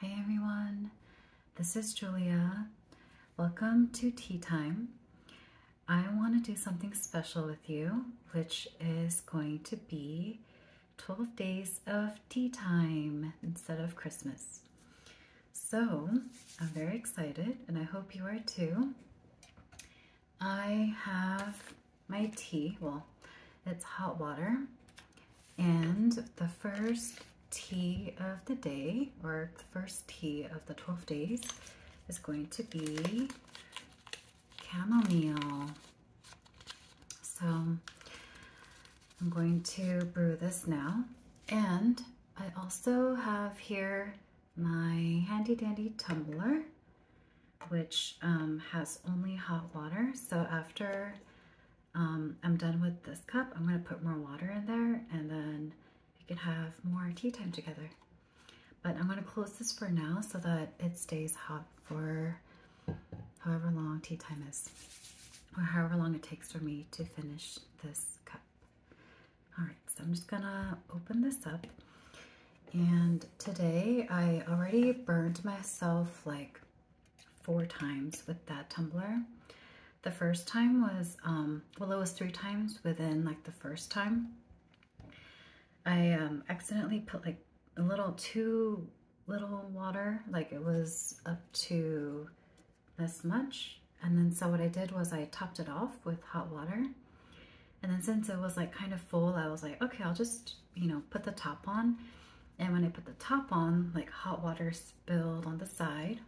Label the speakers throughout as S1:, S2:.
S1: Hi everyone, this is Julia. Welcome to Tea Time. I want to do something special with you, which is going to be 12 days of tea time instead of Christmas. So I'm very excited and I hope you are too. I have my tea, well, it's hot water and the first tea of the day, or the first tea of the 12 days, is going to be chamomile. So I'm going to brew this now. And I also have here my handy dandy tumbler, which um, has only hot water. So after um, I'm done with this cup. I'm going to put more water in there and then we can have more tea time together. But I'm going to close this for now so that it stays hot for however long tea time is or however long it takes for me to finish this cup. All right, so I'm just gonna open this up. And today I already burned myself like four times with that tumbler. The first time was, um, well, it was three times within like the first time. I um, accidentally put like a little too little water, like it was up to this much. And then so what I did was I topped it off with hot water. And then since it was like kind of full, I was like, okay, I'll just you know, put the top on. And when I put the top on, like hot water spilled on the side.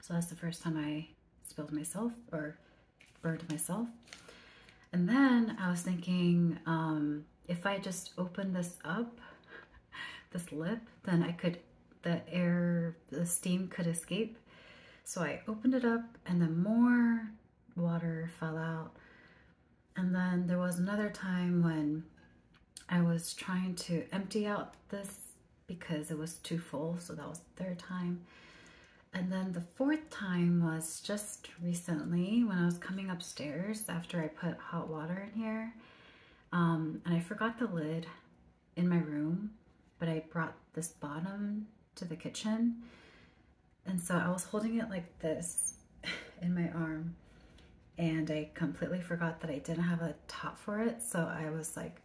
S1: So that's the first time I spilled myself or burned myself. And then I was thinking, um, if I just open this up, this lip, then I could, the air, the steam could escape. So I opened it up and then more water fell out. And then there was another time when I was trying to empty out this because it was too full. So that was third time. And then the fourth time was just recently when I was coming upstairs after I put hot water in here. Um, and I forgot the lid in my room, but I brought this bottom to the kitchen. And so I was holding it like this in my arm and I completely forgot that I didn't have a top for it. So I was like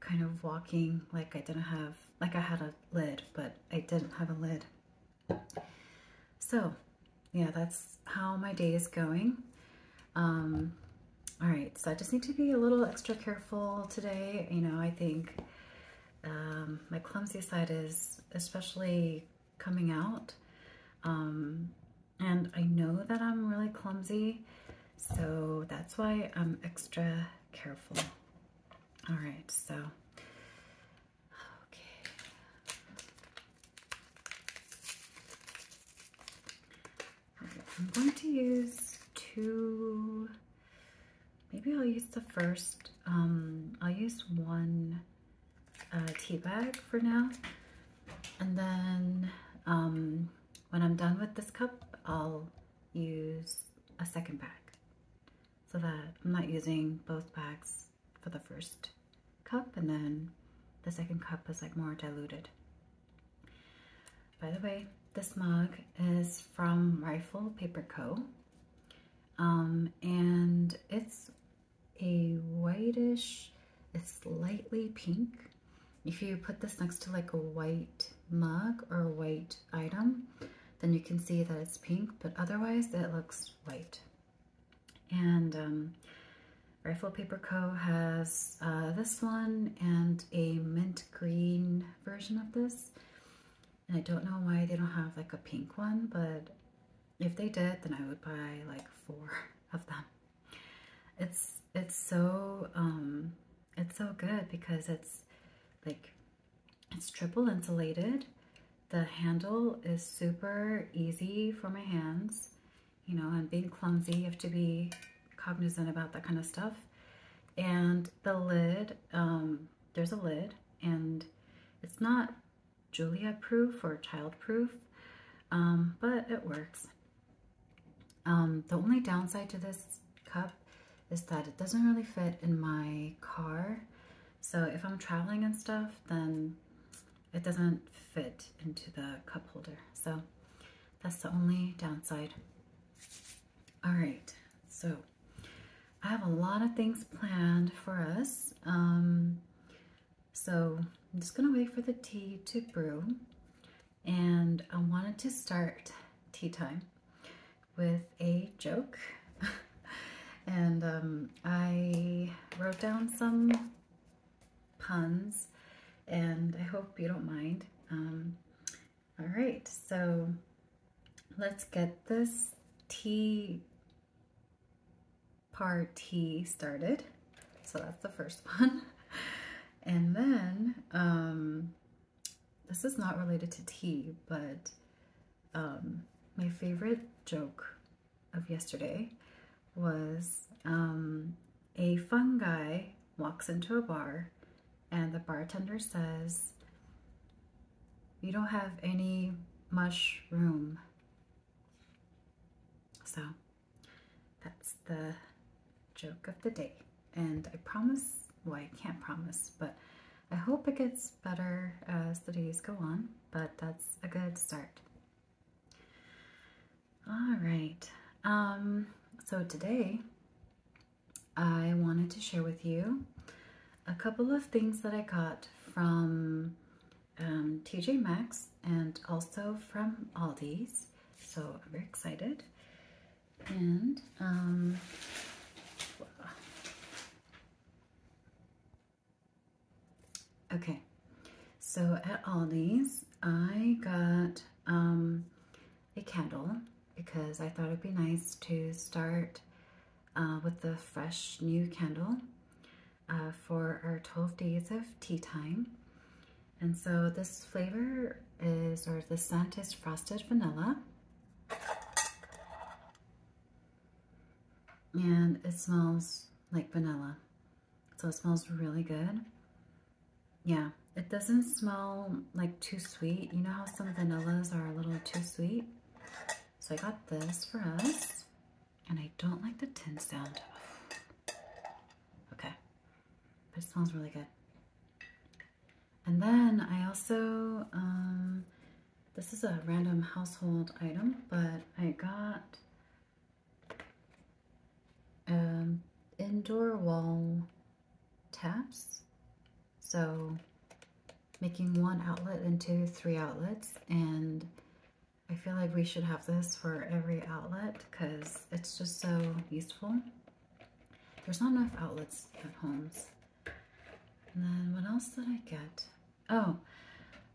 S1: kind of walking like I didn't have, like I had a lid, but I didn't have a lid. So yeah, that's how my day is going. Um, all right, so I just need to be a little extra careful today. You know, I think um, my clumsy side is especially coming out. Um, and I know that I'm really clumsy, so that's why I'm extra careful. All right, so, okay. I'm going to use two, maybe I'll use the first, um, I'll use one uh, tea bag for now. And then um, when I'm done with this cup, I'll use a second bag so that I'm not using both bags for the first cup and then the second cup is like more diluted. By the way, this mug is from Rifle Paper Co. Um, and it's a whitish, it's lightly pink. If you put this next to like a white mug or a white item, then you can see that it's pink, but otherwise it looks white. And um, Rifle Paper Co. has uh, this one and a mint green version of this. And I don't know why they don't have like a pink one, but if they did, then I would buy like four of them. It's it's so um, it's so good because it's like it's triple insulated. The handle is super easy for my hands. You know, I'm being clumsy, you have to be cognizant about that kind of stuff. And the lid, um, there's a lid, and it's not Julia proof or child proof, um, but it works. Um, the only downside to this cup is that it doesn't really fit in my car. So if I'm traveling and stuff, then it doesn't fit into the cup holder. So that's the only downside. All right, so I have a lot of things planned for us. Um, so I'm just gonna wait for the tea to brew. And I wanted to start tea time with a joke. and um, I wrote down some puns and I hope you don't mind. Um, all right, so let's get this tea party started. So that's the first one. And then, um, this is not related to tea, but um, my favorite joke of yesterday was um, a fun walks into a bar and the bartender says, you don't have any mushroom." So that's the joke of the day. And I promise, well, I can't promise, but I hope it gets better as the days go on, but that's a good start. All right. Um, so today, I wanted to share with you a couple of things that I got from um, TJ Maxx and also from Aldi's. So I'm very excited. And um, okay, so at Aldi's I got um, a candle because I thought it'd be nice to start uh, with the fresh new candle. Uh, for our 12 days of tea time. And so this flavor is, or the scent is frosted vanilla. And it smells like vanilla. So it smells really good. Yeah, it doesn't smell like too sweet. You know how some vanillas are a little too sweet? So I got this for us. And I don't like the tin sound. Okay. But it smells really good. And then I also, um, this is a random household item, but I got um, indoor wall taps. So making one outlet into three outlets and I feel like we should have this for every outlet because it's just so useful. There's not enough outlets at homes. And then what else did I get? Oh,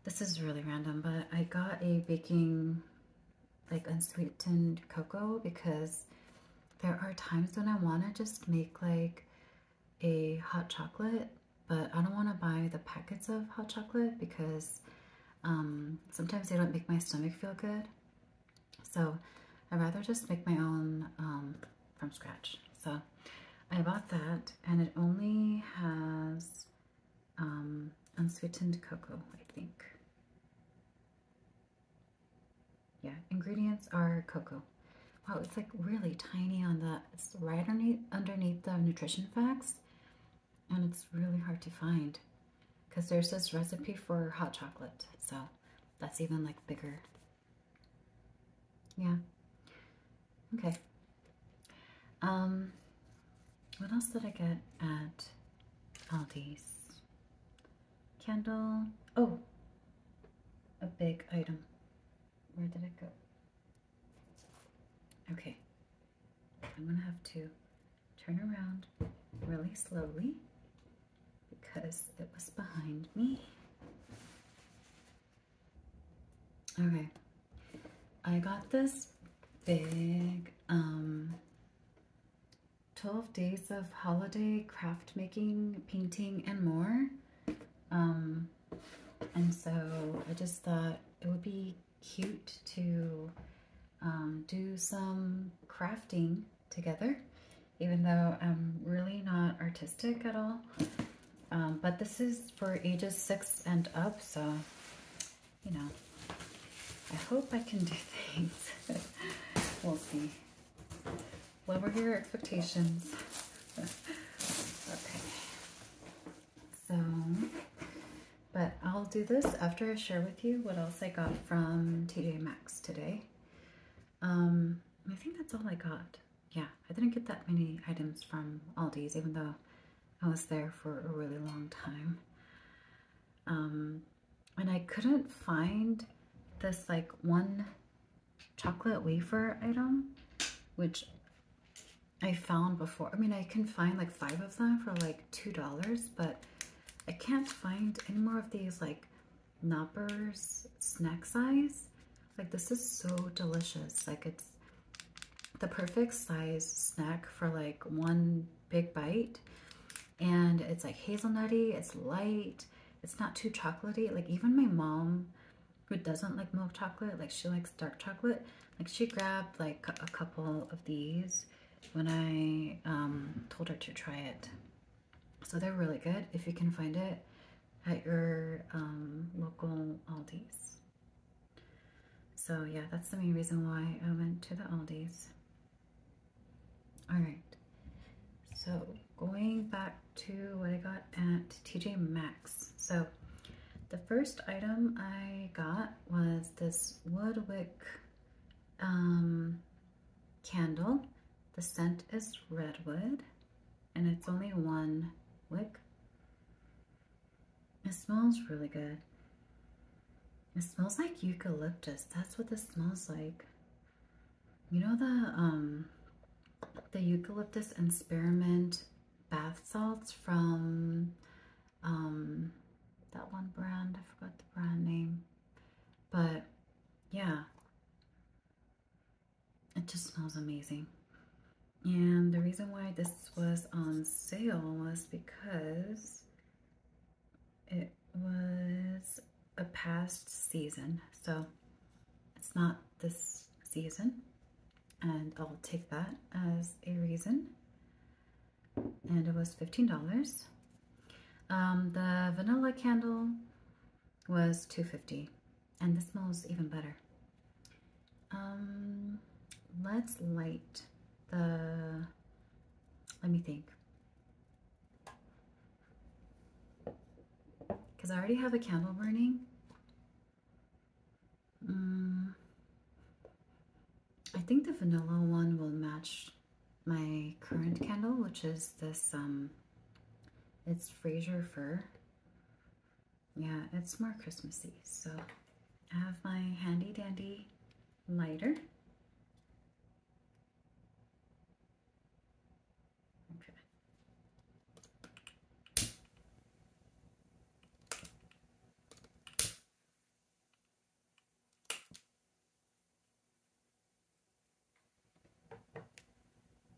S1: this is really random, but I got a baking like unsweetened cocoa because there are times when I want to just make like a hot chocolate, but I don't want to buy the packets of hot chocolate because um, sometimes they don't make my stomach feel good. So i rather just make my own um, from scratch. So I bought that and it only has um, unsweetened cocoa, I think. Yeah, ingredients are cocoa. Wow, it's like really tiny on the, it's right underneath, underneath the nutrition facts and it's really hard to find because there's this recipe for hot chocolate so that's even like bigger yeah okay um what else did I get at Aldi's candle oh a big item where did it go okay I'm gonna have to turn around really slowly because it was behind me. Okay, I got this big um, 12 days of holiday craft making, painting, and more. Um, and so I just thought it would be cute to um, do some crafting together, even though I'm really not artistic at all. Um, but this is for ages six and up, so, you know, I hope I can do things. we'll see. Lower your expectations. okay. So, but I'll do this after I share with you what else I got from TJ Maxx today. Um, I think that's all I got. Yeah, I didn't get that many items from Aldi's, even though I was there for a really long time. Um, and I couldn't find this like one chocolate wafer item, which I found before. I mean, I can find like five of them for like $2, but I can't find any more of these like knoppers snack size. Like this is so delicious. Like it's the perfect size snack for like one big bite. And it's like hazelnutty, it's light, it's not too chocolatey. Like even my mom who doesn't like milk chocolate, like she likes dark chocolate, like she grabbed like a couple of these when I um, told her to try it. So they're really good if you can find it at your um, local Aldi's. So yeah, that's the main reason why I went to the Aldi's. All right, so going back to what I got at TJ Maxx. So the first item I got was this Woodwick um, candle. The scent is redwood and it's only one wick. It smells really good. It smells like eucalyptus. That's what this smells like. You know the um, the eucalyptus and spearmint bath salts from um, that one brand, I forgot the brand name, but yeah, it just smells amazing. And the reason why this was on sale was because it was a past season. So it's not this season. And I'll take that as a reason and it was $15. Um, the vanilla candle was two fifty, dollars and this smells even better. Um, let's light the, let me think. Because I already have a candle burning. Um, I think the vanilla one will match my current candle, which is this, um, it's Fraser Fir. Yeah, it's more Christmassy. So I have my handy dandy lighter.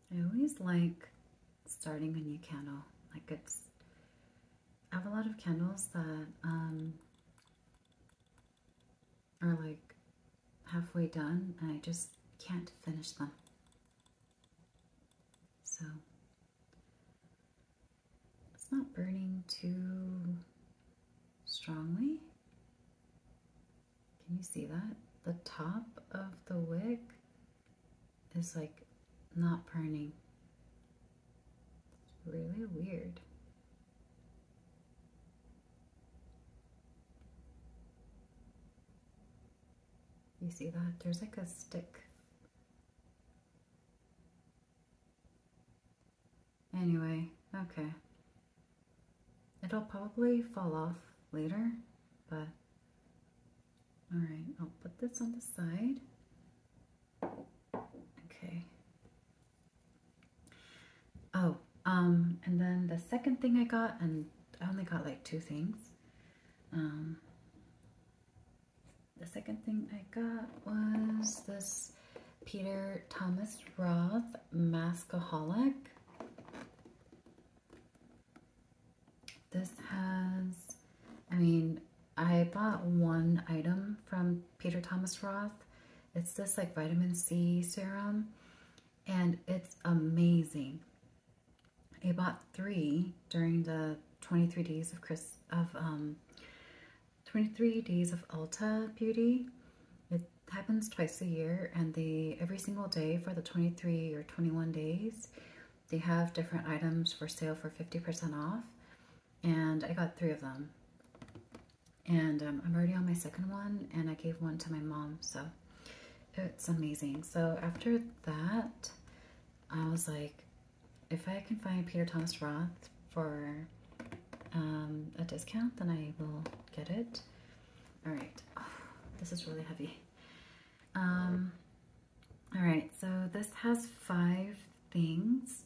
S1: I always like starting a new candle. Like it's, I have a lot of candles that um, are like halfway done and I just can't finish them. So it's not burning too strongly. Can you see that? The top of the wick is like not burning. It's really weird. You see that? There's like a stick Anyway, okay. It'll probably fall off later, but alright, I'll put this on the side. Okay. Oh, um, and then the second thing I got, and I only got like two things. Um, the second thing I got was this Peter Thomas Roth Maskaholic. This has, I mean, I bought one item from Peter Thomas Roth. It's this like vitamin C serum and it's amazing. I bought three during the 23 days of Chris of um, 23 Days of Ulta Beauty. It happens twice a year and the every single day for the 23 or 21 days, they have different items for sale for 50% off. And I got three of them. And um, I'm already on my second one and I gave one to my mom. So it's amazing. So after that, I was like, if I can find Peter Thomas Roth for um, a discount, then I will get it. All right. this is really heavy. Um, all right. So this has five things.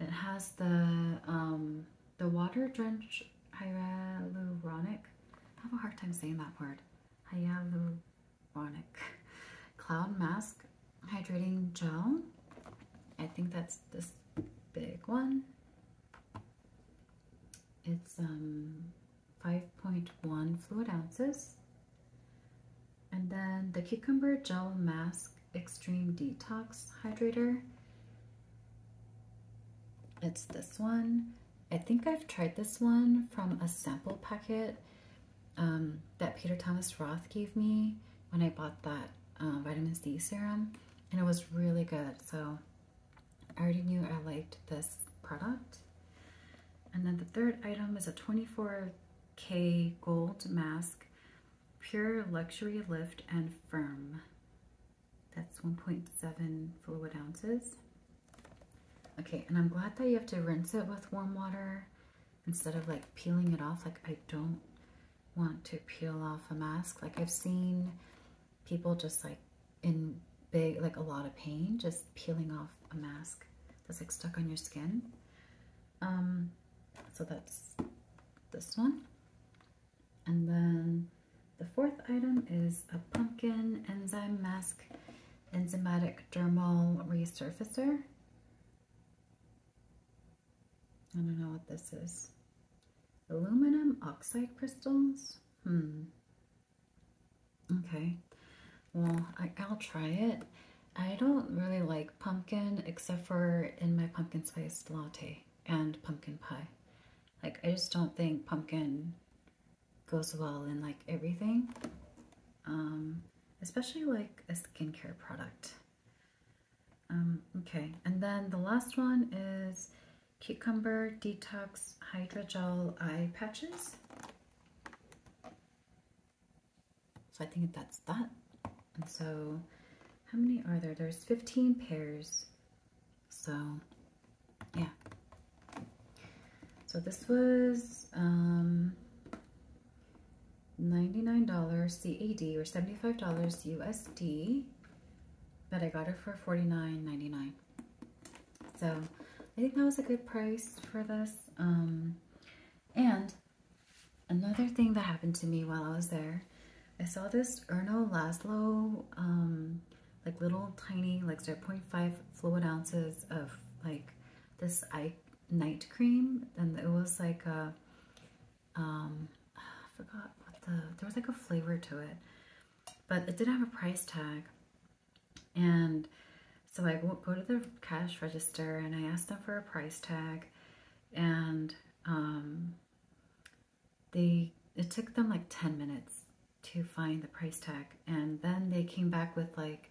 S1: It has the um, the water drench hyaluronic. I have a hard time saying that word. Hyaluronic cloud mask hydrating gel. I think that's this big one. It's um, 5.1 fluid ounces. And then the Cucumber Gel Mask Extreme Detox Hydrator. It's this one. I think I've tried this one from a sample packet um, that Peter Thomas Roth gave me when I bought that uh, vitamin C serum and it was really good. So I already knew I liked this product. And then the third item is a 24K gold mask, pure luxury lift and firm. That's 1.7 fluid ounces. Okay, and I'm glad that you have to rinse it with warm water instead of like peeling it off. Like I don't want to peel off a mask. Like I've seen people just like in big, like a lot of pain, just peeling off a mask that's like stuck on your skin. Um, so that's this one. And then the fourth item is a pumpkin enzyme mask enzymatic dermal resurfacer. I don't know what this is. Aluminum oxide crystals? Hmm. Okay. Well, I, will try it. I don't really like pumpkin except for in my pumpkin spice latte and pumpkin pie. Like, I just don't think pumpkin goes well in like everything. Um, especially like a skincare product. Um, okay, and then the last one is Cucumber Detox Hydrogel Eye Patches. So I think that's that. And so how many are there? There's 15 pairs. So yeah. So this was um, $99 CAD or $75 USD, but I got it for $49.99. So I think that was a good price for this. Um, and another thing that happened to me while I was there, I saw this Erno Laszlo, um, like little tiny, like 0.5 fluid ounces of like this eye night cream. And it was like a um, forgot what the, there was like a flavor to it, but it did not have a price tag. And so I go to the cash register and I asked them for a price tag and um, they, it took them like 10 minutes to find the price tag. And then they came back with like,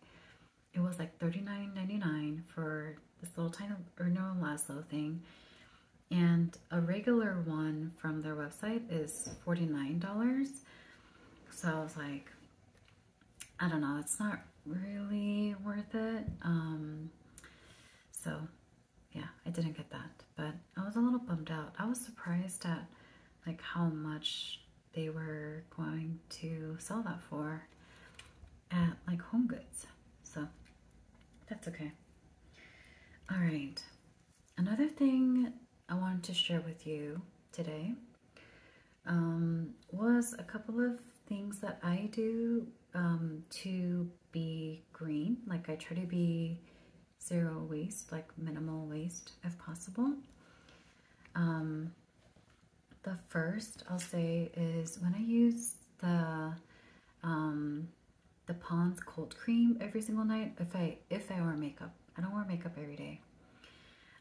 S1: it was like $39.99 for this little tiny or no Erno little thing and a regular one from their website is $49 so I was like I don't know it's not really worth it um, so yeah I didn't get that but I was a little bummed out I was surprised at like how much they were going to sell that for at like home goods so that's okay. All right. Another thing I wanted to share with you today um, was a couple of things that I do um, to be green. Like I try to be zero waste, like minimal waste if possible. Um, the first I'll say is when I use the the Pond's Cold Cream every single night if I, if I wear makeup. I don't wear makeup every day.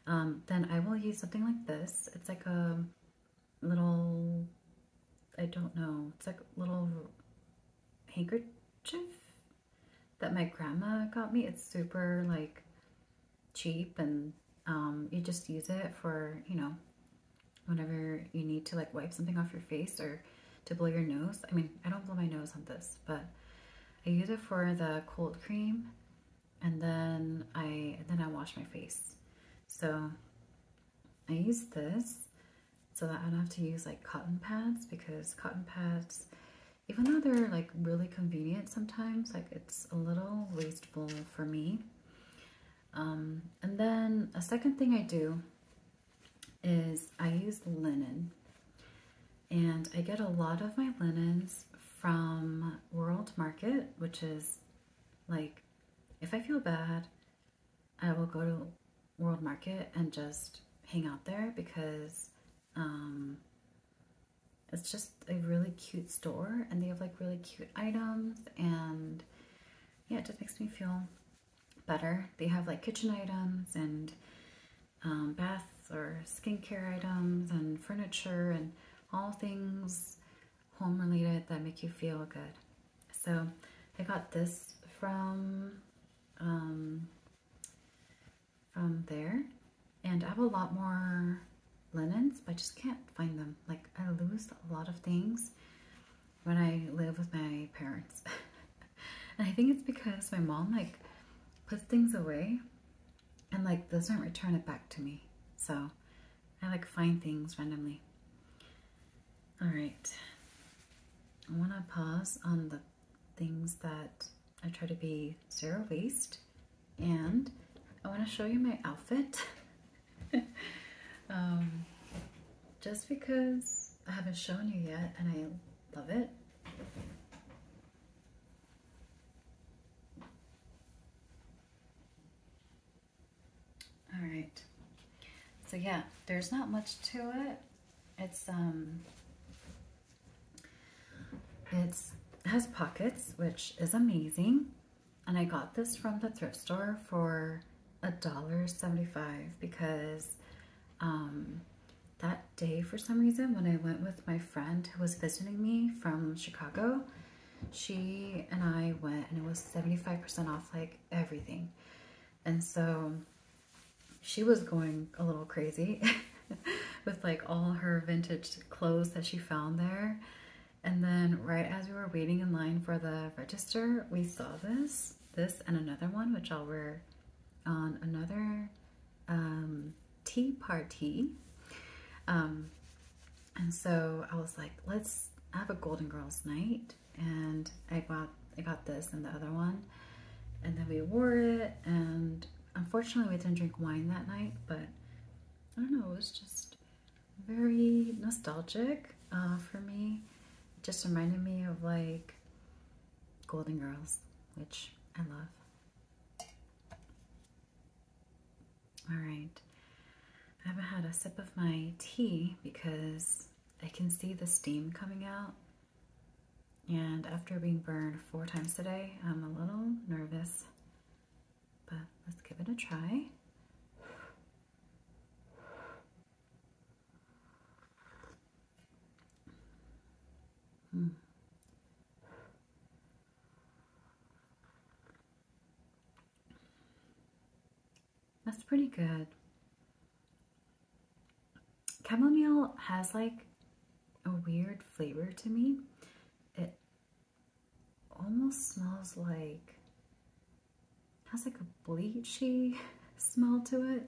S1: Um, then I will use something like this. It's like a little, I don't know, it's like a little handkerchief that my grandma got me. It's super like cheap and um, you just use it for, you know, whenever you need to like wipe something off your face or to blow your nose. I mean, I don't blow my nose on this, but I use it for the cold cream and then I then I wash my face. So I use this so that I don't have to use like cotton pads because cotton pads, even though they're like really convenient sometimes, like it's a little wasteful for me. Um, and then a second thing I do is I use linen. And I get a lot of my linens from World Market, which is like, if I feel bad, I will go to World Market and just hang out there because um, it's just a really cute store and they have like really cute items and yeah, it just makes me feel better. They have like kitchen items and um, baths or skincare items and furniture and all things home related that make you feel good. So I got this from um, from there and I have a lot more linens but I just can't find them. Like I lose a lot of things when I live with my parents. and I think it's because my mom like puts things away and like doesn't return it back to me. So I like find things randomly. All right. I want to pause on the things that I try to be zero waste and I want to show you my outfit Um, just because I haven't shown you yet and I love it. All right. So yeah, there's not much to it. It's um it's has pockets, which is amazing. And I got this from the thrift store for a dollar seventy-five because um, that day, for some reason, when I went with my friend who was visiting me from Chicago, she and I went and it was 75% off like everything. And so she was going a little crazy with like all her vintage clothes that she found there. And then right as we were waiting in line for the register, we saw this this, and another one, which I'll wear on another um, tea party. Um, and so I was like, let's have a Golden Girls night. And I got, I got this and the other one. And then we wore it. And unfortunately, we didn't drink wine that night. But I don't know, it was just very nostalgic uh, for me just reminded me of like Golden Girls, which I love. All right, I haven't had a sip of my tea because I can see the steam coming out. And after being burned four times today, I'm a little nervous, but let's give it a try. Hmm. That's pretty good. Chamomile has like a weird flavor to me. It almost smells like has like a bleachy smell to it.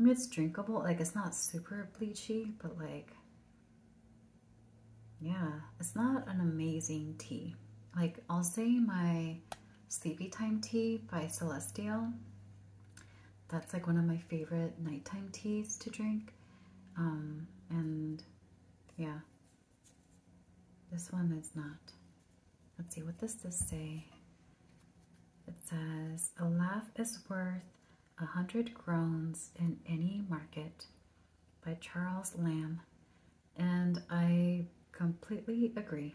S1: it's drinkable. Like, it's not super bleachy, but like, yeah, it's not an amazing tea. Like, I'll say my Sleepy Time Tea by Celestial. That's like one of my favorite nighttime teas to drink. Um, and yeah, this one is not. Let's see, what does this say? It says, a laugh is worth a hundred groans in any market by Charles Lamb. And I completely agree.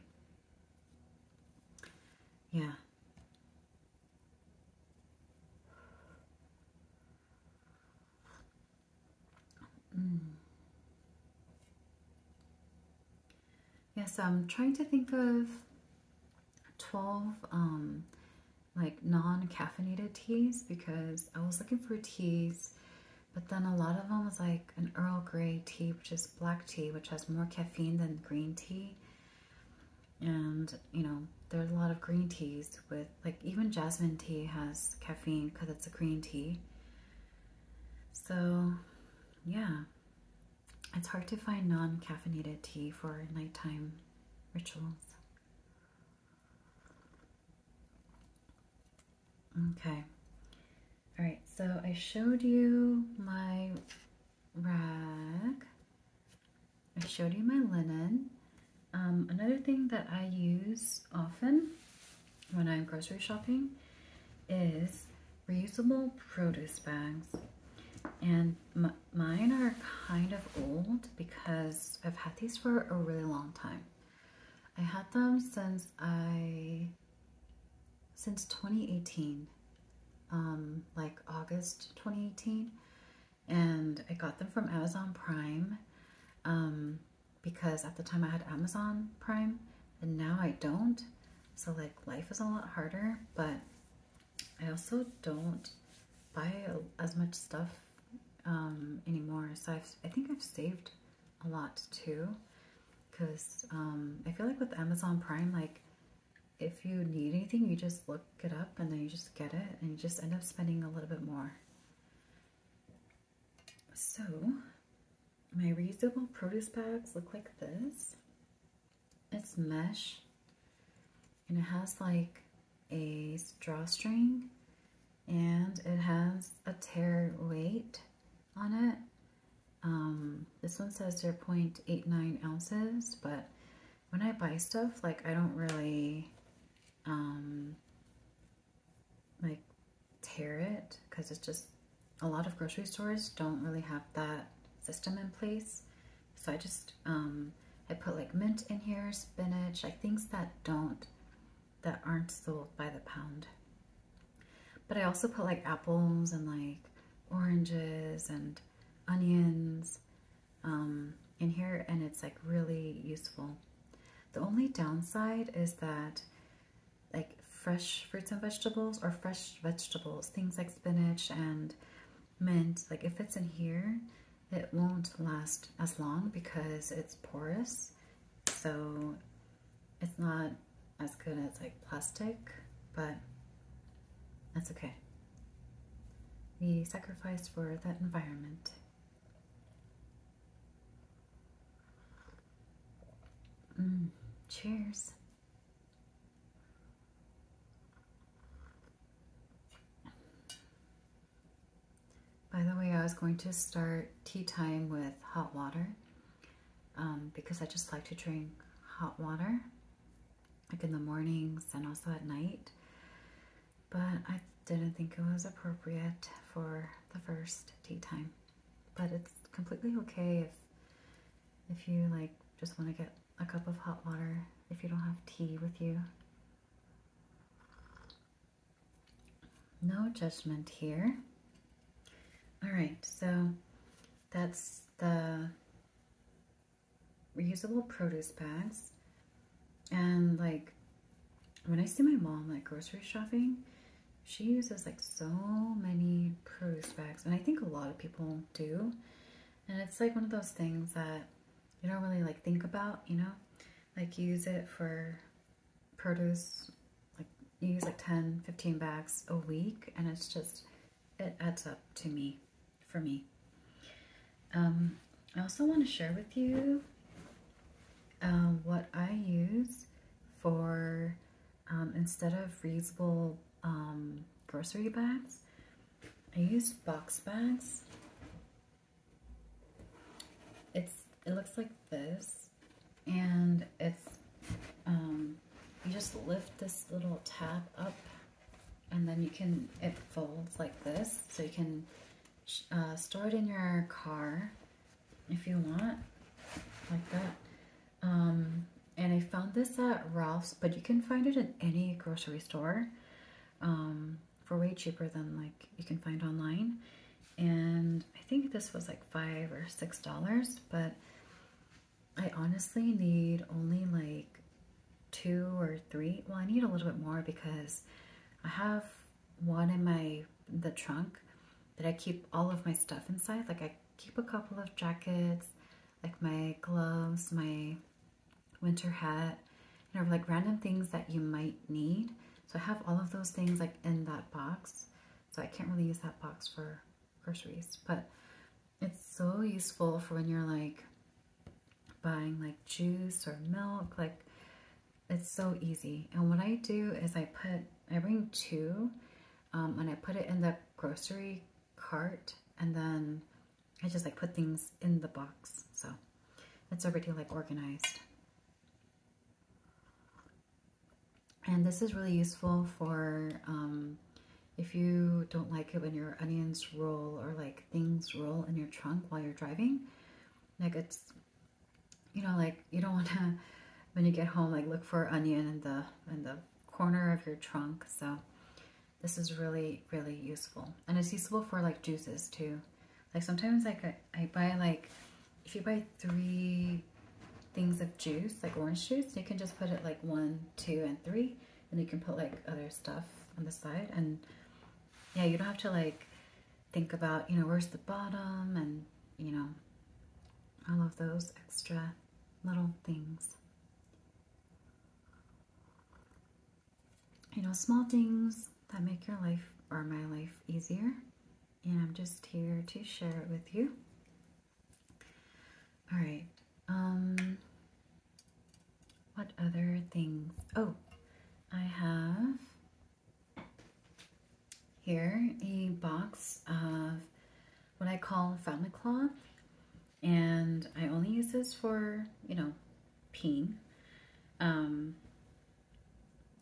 S1: Yeah. Mm. Yes, I'm trying to think of 12 um, like non-caffeinated teas because I was looking for teas, but then a lot of them was like an Earl Grey tea, which is black tea, which has more caffeine than green tea. And, you know, there's a lot of green teas with, like even jasmine tea has caffeine because it's a green tea. So yeah, it's hard to find non caffeinated tea for nighttime rituals. Okay. All right, so I showed you my rag. I showed you my linen. Um, another thing that I use often when I'm grocery shopping is reusable produce bags. And mine are kind of old because I've had these for a really long time. I had them since I, since 2018, um, like August 2018. And I got them from Amazon Prime um, because at the time I had Amazon Prime and now I don't. So like life is a lot harder, but I also don't buy as much stuff um, anymore. So I've, I think I've saved a lot too. Cause um, I feel like with Amazon Prime, like if you need anything, you just look it up and then you just get it and you just end up spending a little bit more. So my reusable produce bags look like this. It's mesh and it has like a drawstring and it has a tear weight on it. Um, this one says 0.89 ounces, but when I buy stuff, like I don't really um, like tear it because it's just a lot of grocery stores don't really have that system in place. So I just, um, I put like mint in here, spinach, like things that don't, that aren't sold by the pound. But I also put like apples and like oranges and onions um, in here and it's like really useful. The only downside is that like fresh fruits and vegetables or fresh vegetables, things like spinach and mint, like if it's in here, it won't last as long because it's porous. So it's not as good as like plastic, but that's okay. We sacrifice for that environment. Mm, cheers. By the way, I was going to start tea time with hot water um, because I just like to drink hot water like in the mornings and also at night. But I didn't think it was appropriate for the first tea time. But it's completely okay if if you like just want to get a cup of hot water if you don't have tea with you. No judgment here. All right, so that's the reusable produce bags. And like when I see my mom like grocery shopping, she uses like so many produce bags and I think a lot of people do and it's like one of those things that you don't really like think about you know like you use it for produce like you use like 10 15 bags a week and it's just it adds up to me for me um, I also want to share with you uh, what I use for um, instead of reusable um, grocery bags, I use box bags. It's It looks like this, and it's, um, you just lift this little tab up, and then you can, it folds like this, so you can uh, store it in your car if you want, like that. Um, and I found this at Ralph's, but you can find it in any grocery store um, for way cheaper than like you can find online. And I think this was like five or six dollars, but I honestly need only like two or three. Well, I need a little bit more because I have one in my the trunk that I keep all of my stuff inside. Like I keep a couple of jackets, like my gloves, my winter hat, you know, like random things that you might need. So I have all of those things like in that box. So I can't really use that box for groceries, but it's so useful for when you're like buying like juice or milk, like it's so easy. And what I do is I put, I bring two um, and I put it in the grocery cart and then I just like put things in the box. So it's already like organized. And this is really useful for um, if you don't like it when your onions roll or like things roll in your trunk while you're driving. Like it's, you know, like you don't want to, when you get home, like look for onion in the, in the corner of your trunk. So this is really, really useful. And it's useful for like juices too. Like sometimes like I buy like, if you buy three things of juice, like orange juice, you can just put it like one, two, and three. And you can put like other stuff on the side. And yeah, you don't have to like think about, you know, where's the bottom and, you know, all of those extra little things. You know, small things that make your life or my life easier. And I'm just here to share it with you. All right. Um, what other things? Oh, I have here a box of what I call family cloth. And I only use this for, you know, peeing. Um,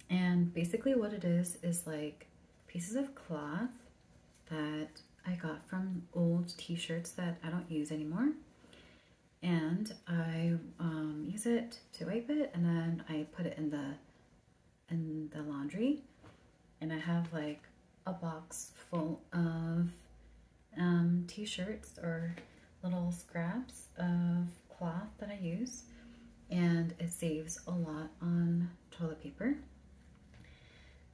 S1: and basically what it is, is like pieces of cloth that I got from old t-shirts that I don't use anymore. And I um, use it to wipe it and then I put it in the in the laundry and I have like a box full of um, t-shirts or little scraps of cloth that I use and it saves a lot on toilet paper.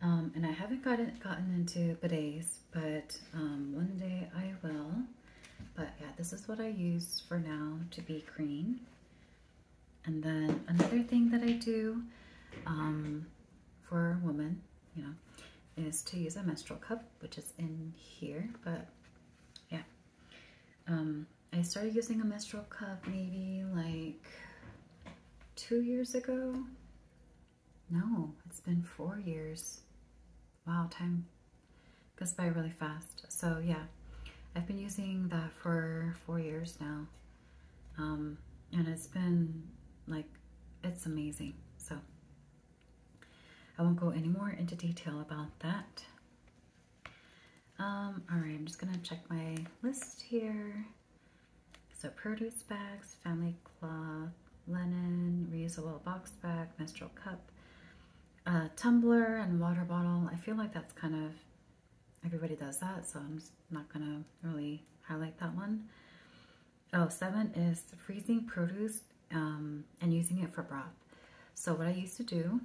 S1: Um, and I haven't gotten, gotten into bidets, but um, one day I will. But yeah, this is what I use for now to be green. And then another thing that I do um, for women, you know, is to use a menstrual cup, which is in here, but yeah. Um, I started using a menstrual cup maybe like two years ago. No, it's been four years. Wow, time goes by really fast. So yeah, I've been using that for four years now. Um, and it's been like, it's amazing. So I won't go any more into detail about that. Um, all right, I'm just gonna check my list here. So produce bags, family cloth, linen, reusable box bag, menstrual cup, uh, tumbler and water bottle. I feel like that's kind of everybody does that, so I'm not gonna really highlight that one. Oh, seven is freezing produce um, and using it for broth. So what I used to do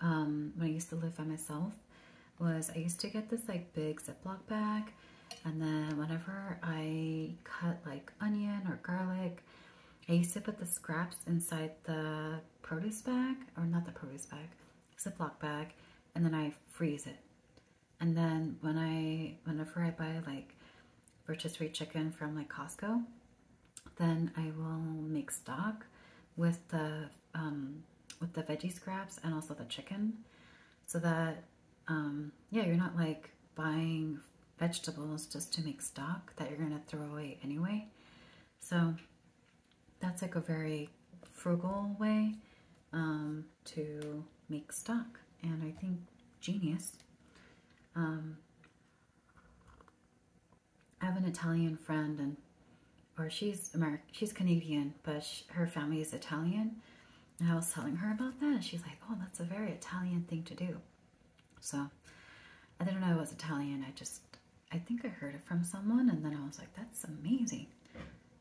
S1: um, when I used to live by myself was I used to get this like big Ziploc bag and then whenever I cut like onion or garlic, I used to put the scraps inside the produce bag, or not the produce bag, Ziploc bag and then I freeze it. And then when I, whenever I buy like rotisserie chicken from like Costco, then I will make stock with the, um, with the veggie scraps and also the chicken so that, um, yeah, you're not like buying vegetables just to make stock that you're going to throw away anyway. So that's like a very frugal way um, to make stock. And I think genius. Um, I have an Italian friend and or she's American, she's Canadian, but her family is Italian. And I was telling her about that, and she's like, "Oh, that's a very Italian thing to do." So I didn't know it was Italian. I just I think I heard it from someone, and then I was like, "That's amazing."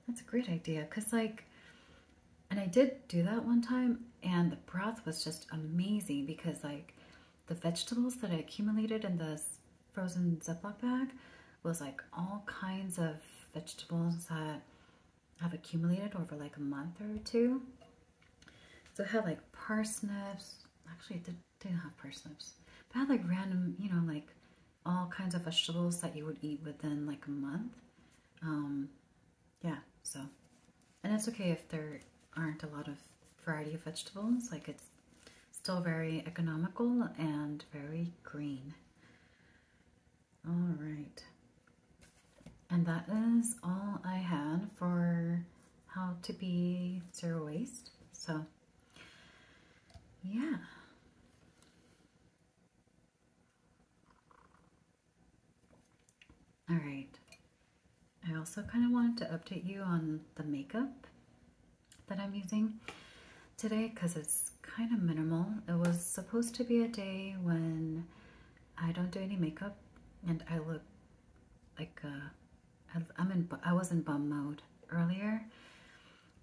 S1: That's a great idea. Cause like, and I did do that one time and the broth was just amazing because like the vegetables that I accumulated in this frozen Ziploc bag was like all kinds of vegetables that have accumulated over like a month or two. So it had like parsnips. Actually, it did, didn't have parsnips. But I had like random, you know, like all kinds of vegetables that you would eat within like a month. Um, yeah, so. And it's okay if there aren't a lot of variety of vegetables. Like it's still very economical and very green. All right. And that is all I had for how to be zero waste. So yeah. All right. I also kind of wanted to update you on the makeup that I'm using today because it's kind of minimal. It was supposed to be a day when I don't do any makeup and I look like uh, I'm in I was in bum mode earlier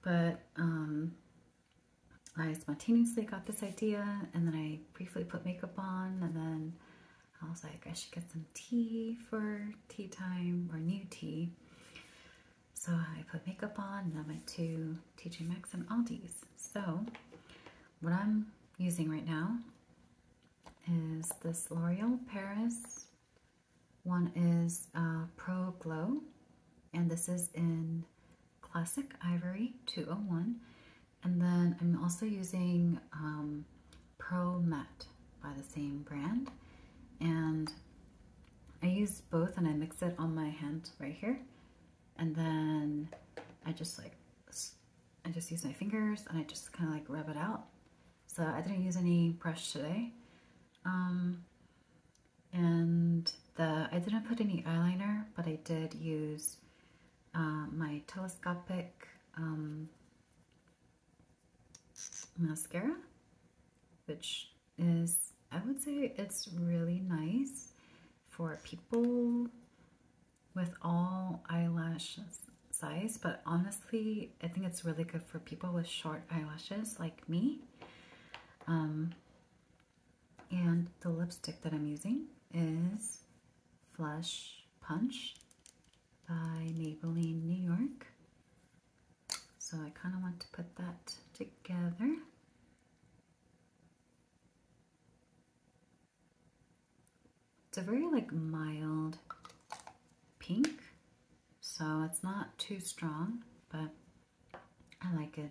S1: but um, I spontaneously got this idea and then I briefly put makeup on and then I was like, I should get some tea for tea time or new tea. So I put makeup on and I went to TJ Maxx and Aldi's. So what I'm using right now is this L'Oreal Paris. One is uh, Pro Glow and this is in Classic Ivory 201. And then I'm also using um, Pro Matte by the same brand. And I use both and I mix it on my hand right here. And then I just like, I just use my fingers and I just kind of like rub it out. So I didn't use any brush today. Um, and the I didn't put any eyeliner, but I did use uh, my telescopic um, mascara, which is, I would say it's really nice for people with all eyelash size, but honestly, I think it's really good for people with short eyelashes like me. Um, and the lipstick that I'm using is Flush Punch by Maybelline New York. So I kind of want to put that together. It's a very like mild pink, so it's not too strong, but I like it.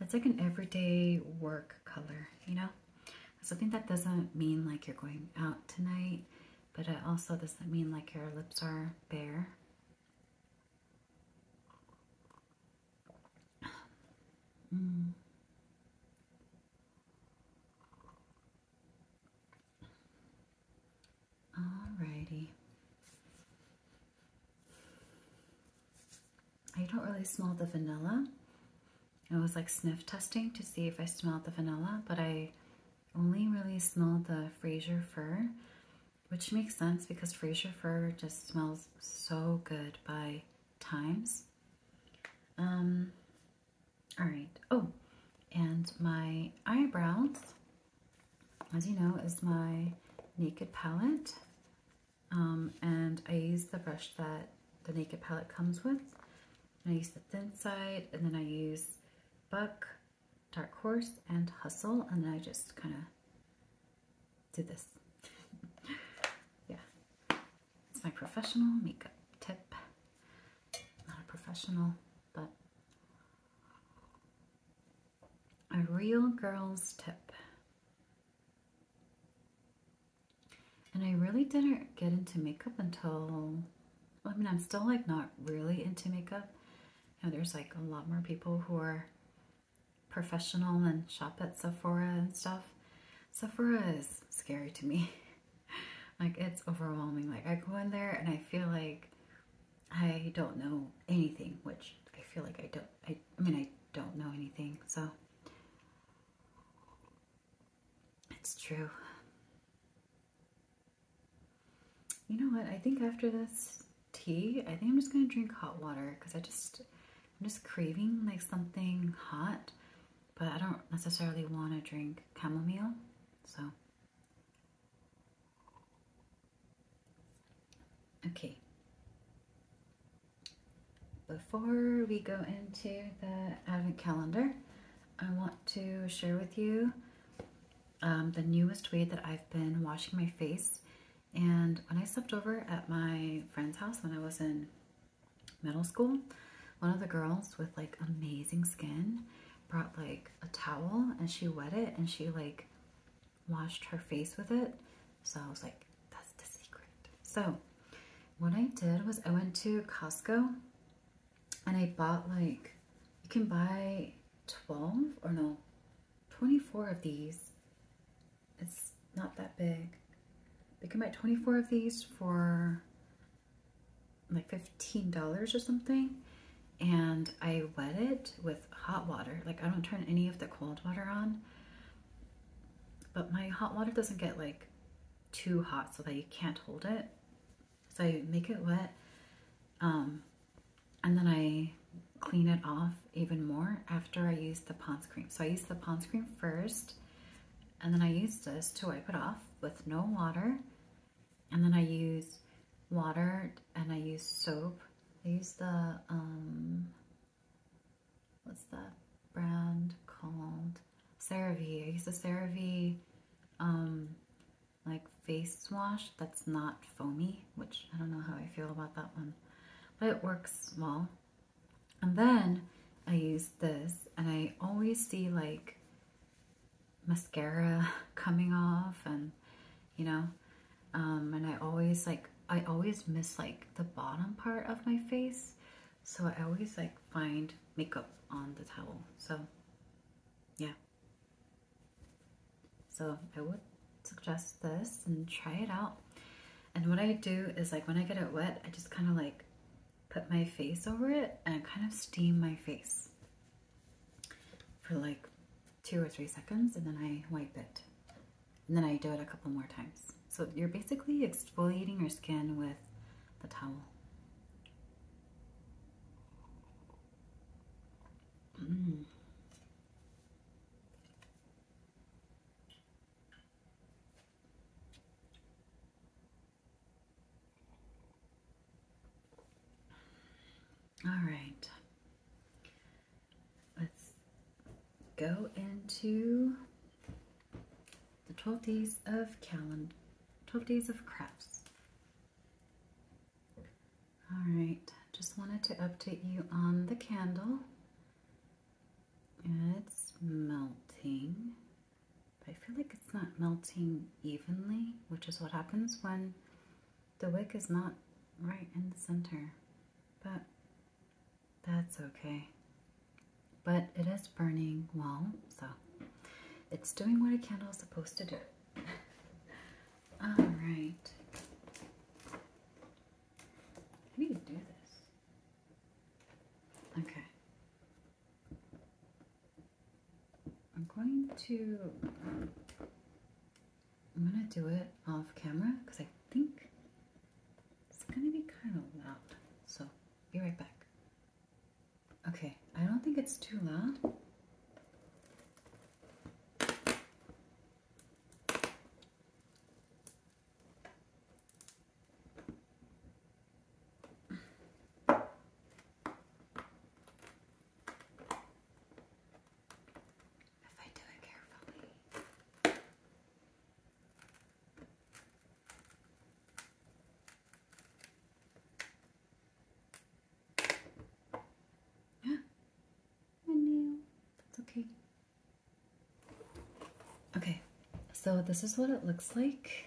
S1: It's like an everyday work color, you know? Something that doesn't mean like you're going out tonight, but it also doesn't mean like your lips are bare. Mm. Alrighty. I don't really smell the vanilla. I was like sniff testing to see if I smelled the vanilla, but I only really smelled the Fraser fir, which makes sense because Fraser fir just smells so good by times. Um, all right. Oh, and my eyebrows as you know, is my Naked palette. Um, and I use the brush that the Naked palette comes with. I use the thin side and then I use Buck, Dark Horse, and Hustle. And then I just kind of do this. yeah. It's my professional makeup tip. Not a professional, but a real girl's tip. And I really didn't get into makeup until, I mean, I'm still like not really into makeup. You know, there's like a lot more people who are professional and shop at Sephora and stuff. Sephora is scary to me. like it's overwhelming. Like I go in there and I feel like I don't know anything, which I feel like I don't, I, mean, I don't know anything, so it's true. You know what? I think after this tea, I think I'm just going to drink hot water because I just, I'm just craving like something hot, but I don't necessarily want to drink chamomile, so. Okay. Before we go into the Advent calendar, I want to share with you um, the newest way that I've been washing my face. And when I slept over at my friend's house when I was in middle school, one of the girls with like amazing skin brought like a towel and she wet it and she like washed her face with it. So I was like, that's the secret. So what I did was I went to Costco and I bought like, you can buy 12 or no, 24 of these. It's not that big. You can buy 24 of these for like $15 or something. And I wet it with hot water. Like I don't turn any of the cold water on. But my hot water doesn't get like too hot so that you can't hold it. So I make it wet um, and then I clean it off even more after I use the Pond's cream. So I use the Pond's cream first and then I use this to wipe it off with no water. And then I use water and I use soap. I use the um, what's that brand called? CeraVe. I use the CeraVe um, like face wash that's not foamy, which I don't know how I feel about that one, but it works well. And then I use this and I always see like mascara coming off and you know, um, and I always like, I always miss like the bottom part of my face. So I always like find makeup on the towel. So yeah. So I would suggest this and try it out. And what I do is like when I get it wet, I just kind of like put my face over it and kind of steam my face for like two or three seconds and then I wipe it. And then I do it a couple more times. So you're basically exfoliating your skin with the towel. Mm. All right let's go into the 12 days of calendar, 12 days of crafts. All right, just wanted to update you on the candle. It's melting, I feel like it's not melting evenly, which is what happens when the wick is not right in the center. But that's okay. But it is burning well, so it's doing what a candle is supposed to do. All right. How do you do this? Okay. I'm going to I'm gonna do it off camera because I think it's gonna be kind of loud. So be right back. Okay, I don't think it's too loud if I do it carefully. My nail. That's okay. Okay, so this is what it looks like.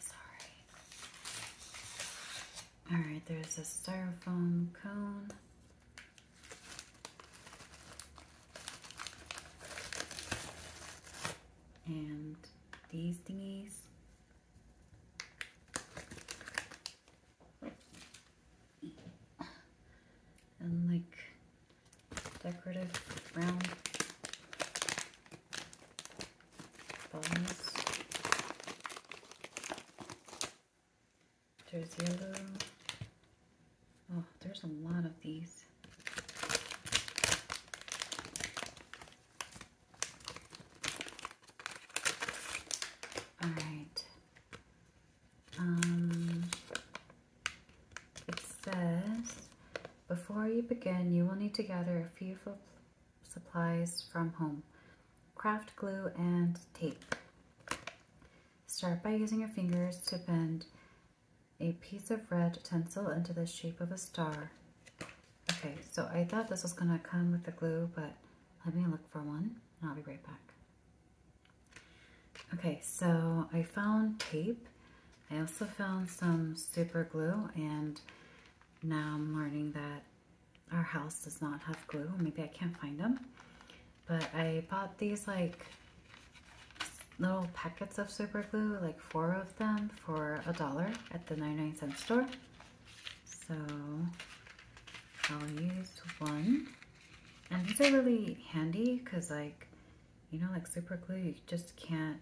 S1: Sorry. All right, there's a styrofoam cone. And these thingies and like decorative round buttons. There's yellow. Oh, there's a lot of these. All right. Um, it says, before you begin, you will need to gather a few supplies from home. Craft glue and tape. Start by using your fingers to bend a piece of red tinsel into the shape of a star. Okay, so I thought this was going to come with the glue, but let me look for one and I'll be right back. Okay, so I found tape. I also found some super glue and now I'm learning that our house does not have glue. Maybe I can't find them. But I bought these like little packets of super glue, like four of them for a dollar at the 99 cent store. So I'll use one. And these are really handy because like, you know, like super glue, you just can't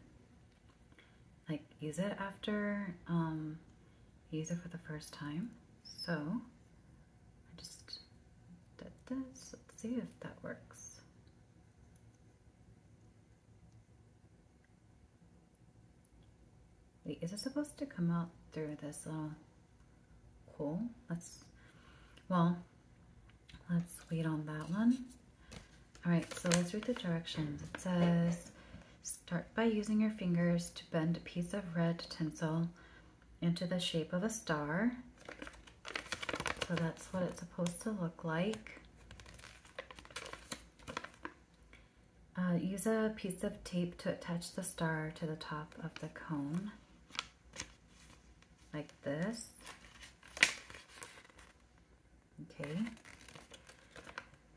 S1: like use it after um, use it for the first time. So I just did this. Let's see if that works. Wait, is it supposed to come out through this little uh, hole? Let's, well, let's wait on that one. All right, so let's read the directions. It says, start by using your fingers to bend a piece of red tinsel into the shape of a star. So that's what it's supposed to look like. Uh, use a piece of tape to attach the star to the top of the cone, like this. Okay.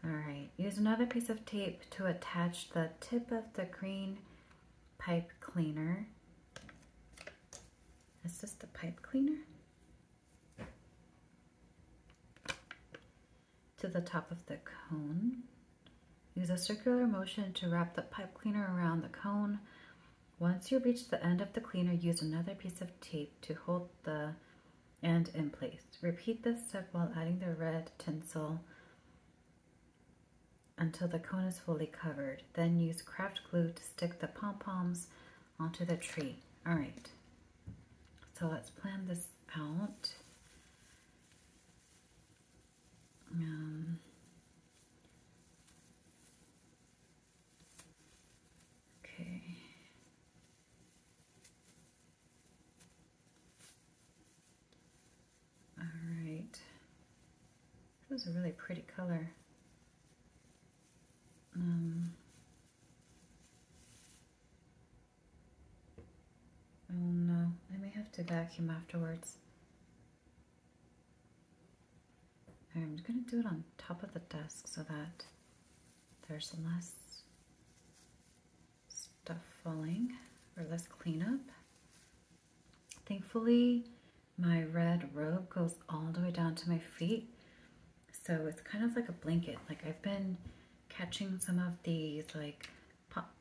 S1: All right, use another piece of tape to attach the tip of the green pipe cleaner. Is this the pipe cleaner? to the top of the cone. Use a circular motion to wrap the pipe cleaner around the cone. Once you reach the end of the cleaner, use another piece of tape to hold the end in place. Repeat this step while adding the red tinsel until the cone is fully covered. Then use craft glue to stick the pom-poms onto the tree. All right, so let's plan this out. Um, okay. All right. That was a really pretty color. Um, Oh no, I may have to vacuum afterwards. I'm going to do it on top of the desk so that there's less stuff falling or less cleanup. Thankfully, my red robe goes all the way down to my feet. So it's kind of like a blanket. Like I've been catching some of these like pop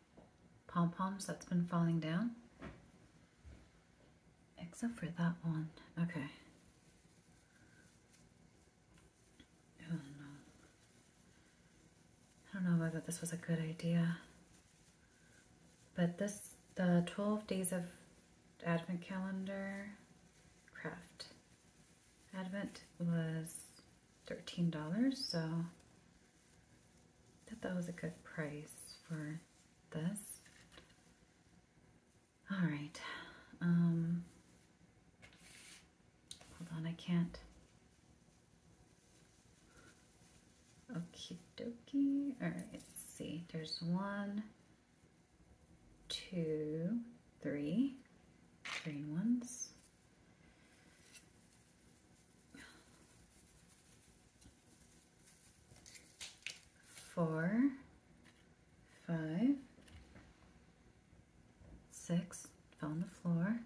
S1: pom-poms that's been falling down. Except for that one. Okay. Oh no. I don't know whether this was a good idea. But this, the 12 days of Advent calendar craft. Advent was $13, so Thought that was a good price for this. All right. Um, hold on, I can't. Okie dokie. All right, let's see. There's one, two, three, green ones four, five, six, fell on the floor.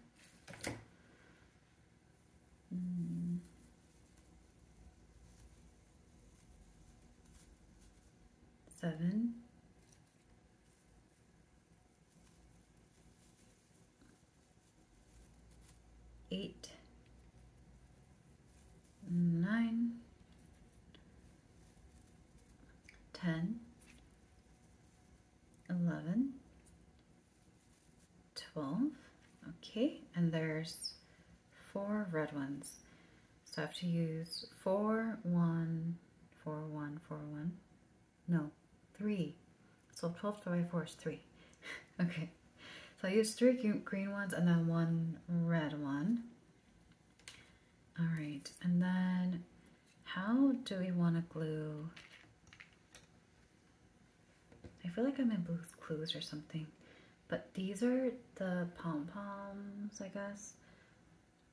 S1: Hmm. Seven, eight, nine, ten, eleven, twelve. Okay, and there's four red ones. So I have to use four, one, four, one, four, one no, three. So 12 divided by 4 is 3. okay, so I use three green ones and then one red one. All right, and then how do we want to glue? I feel like I'm in Blue's Clues or something, but these are the pom-poms, I guess.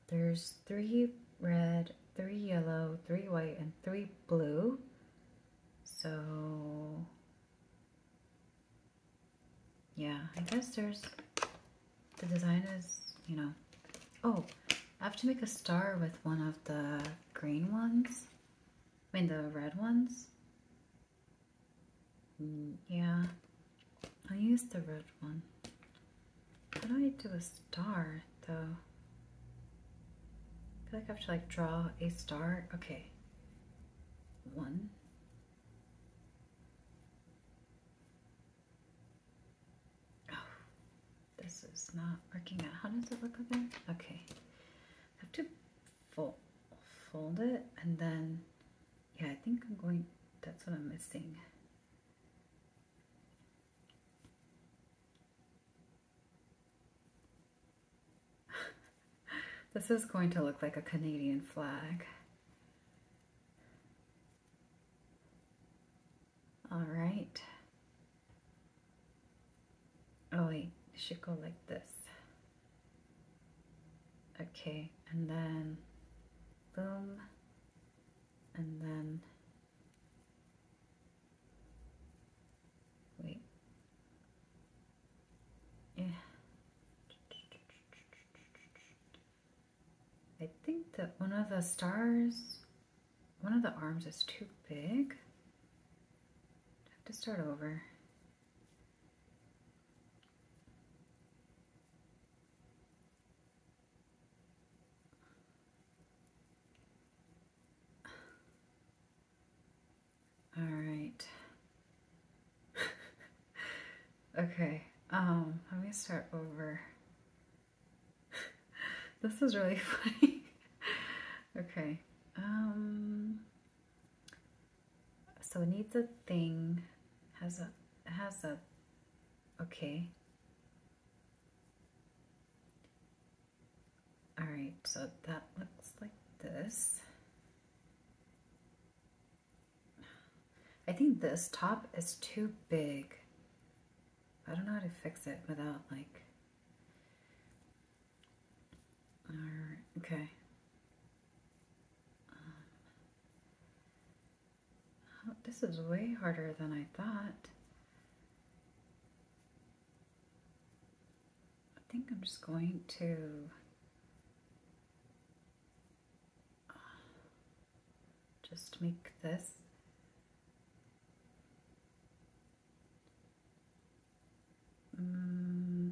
S1: There's three red, three yellow, three white, and three blue. So, yeah, I guess there's, the design is, you know, oh, I have to make a star with one of the green ones. I mean, the red ones. Mm, yeah, I used the red one. How I do a star? So, I feel like I have to like draw a star. Okay. One. Oh, this is not working out. How does it look up Okay. I have to fold, fold it and then, yeah, I think I'm going, that's what I'm missing. this is going to look like a Canadian flag. All right. Oh wait, it should go like this. Okay, and then boom, and then Wait. Yeah. I think that one of the stars, one of the arms is too big. I have to start over. All right. okay, um, let me start over. this is really funny. okay, um, so it needs a thing, has a, has a, okay. All right, so that looks like this. I think this top is too big. I don't know how to fix it without like, all right, okay. Um, oh, this is way harder than I thought. I think I'm just going to just make this mm.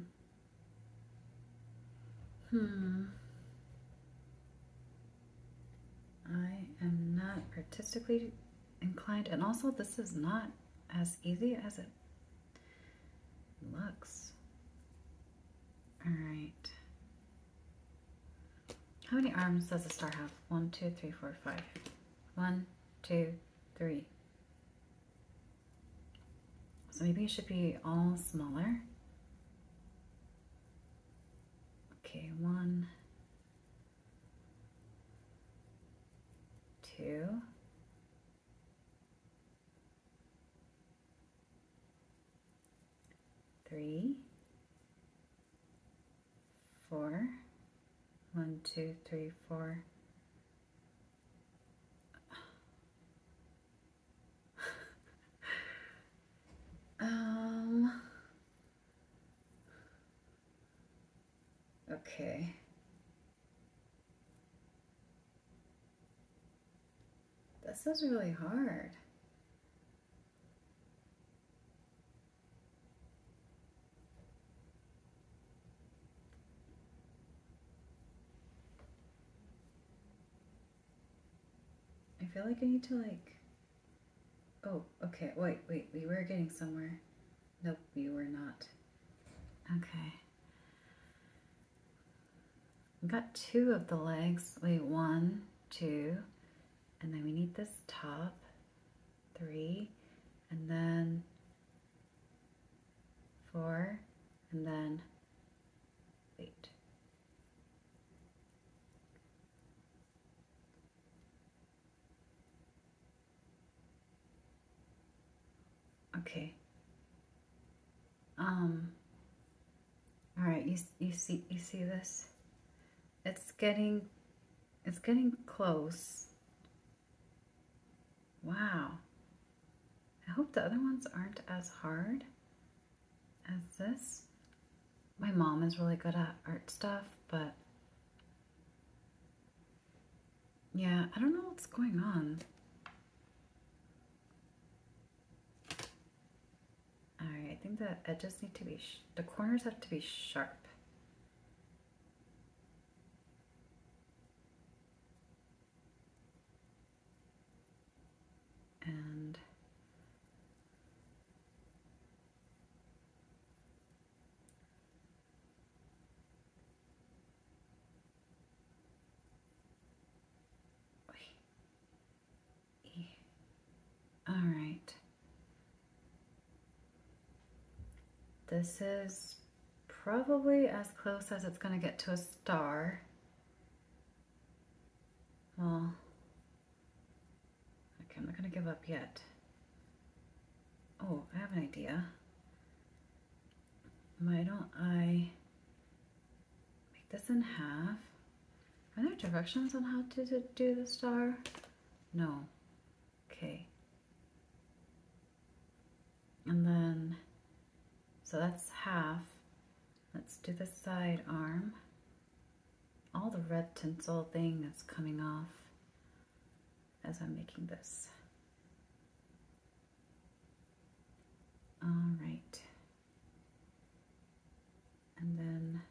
S1: hmm I am not artistically inclined. And also, this is not as easy as it looks. All right. How many arms does a star have? One, two, three, four, five. One, two, three. So maybe it should be all smaller. Okay, one, two, three, four, one, two, three, four. um, Okay. This is really hard. I feel like I need to like, oh, okay, wait, wait, we were getting somewhere. Nope, you were not. Okay. we got two of the legs. Wait, one, two, and then we need this top, three, and then four, and then eight. Okay. Um, all right, you, you see, you see this? It's getting, it's getting close. Wow. I hope the other ones aren't as hard as this. My mom is really good at art stuff, but yeah, I don't know what's going on. I think the edges need to be, the corners have to be sharp. And all right. This is probably as close as it's going to get to a star. Well, okay, I'm not going to give up yet. Oh, I have an idea. Why don't I make this in half? Are there directions on how to do the star? No. Okay. And then, so that's half. Let's do the side arm. All the red tinsel thing that's coming off as I'm making this. All right. And then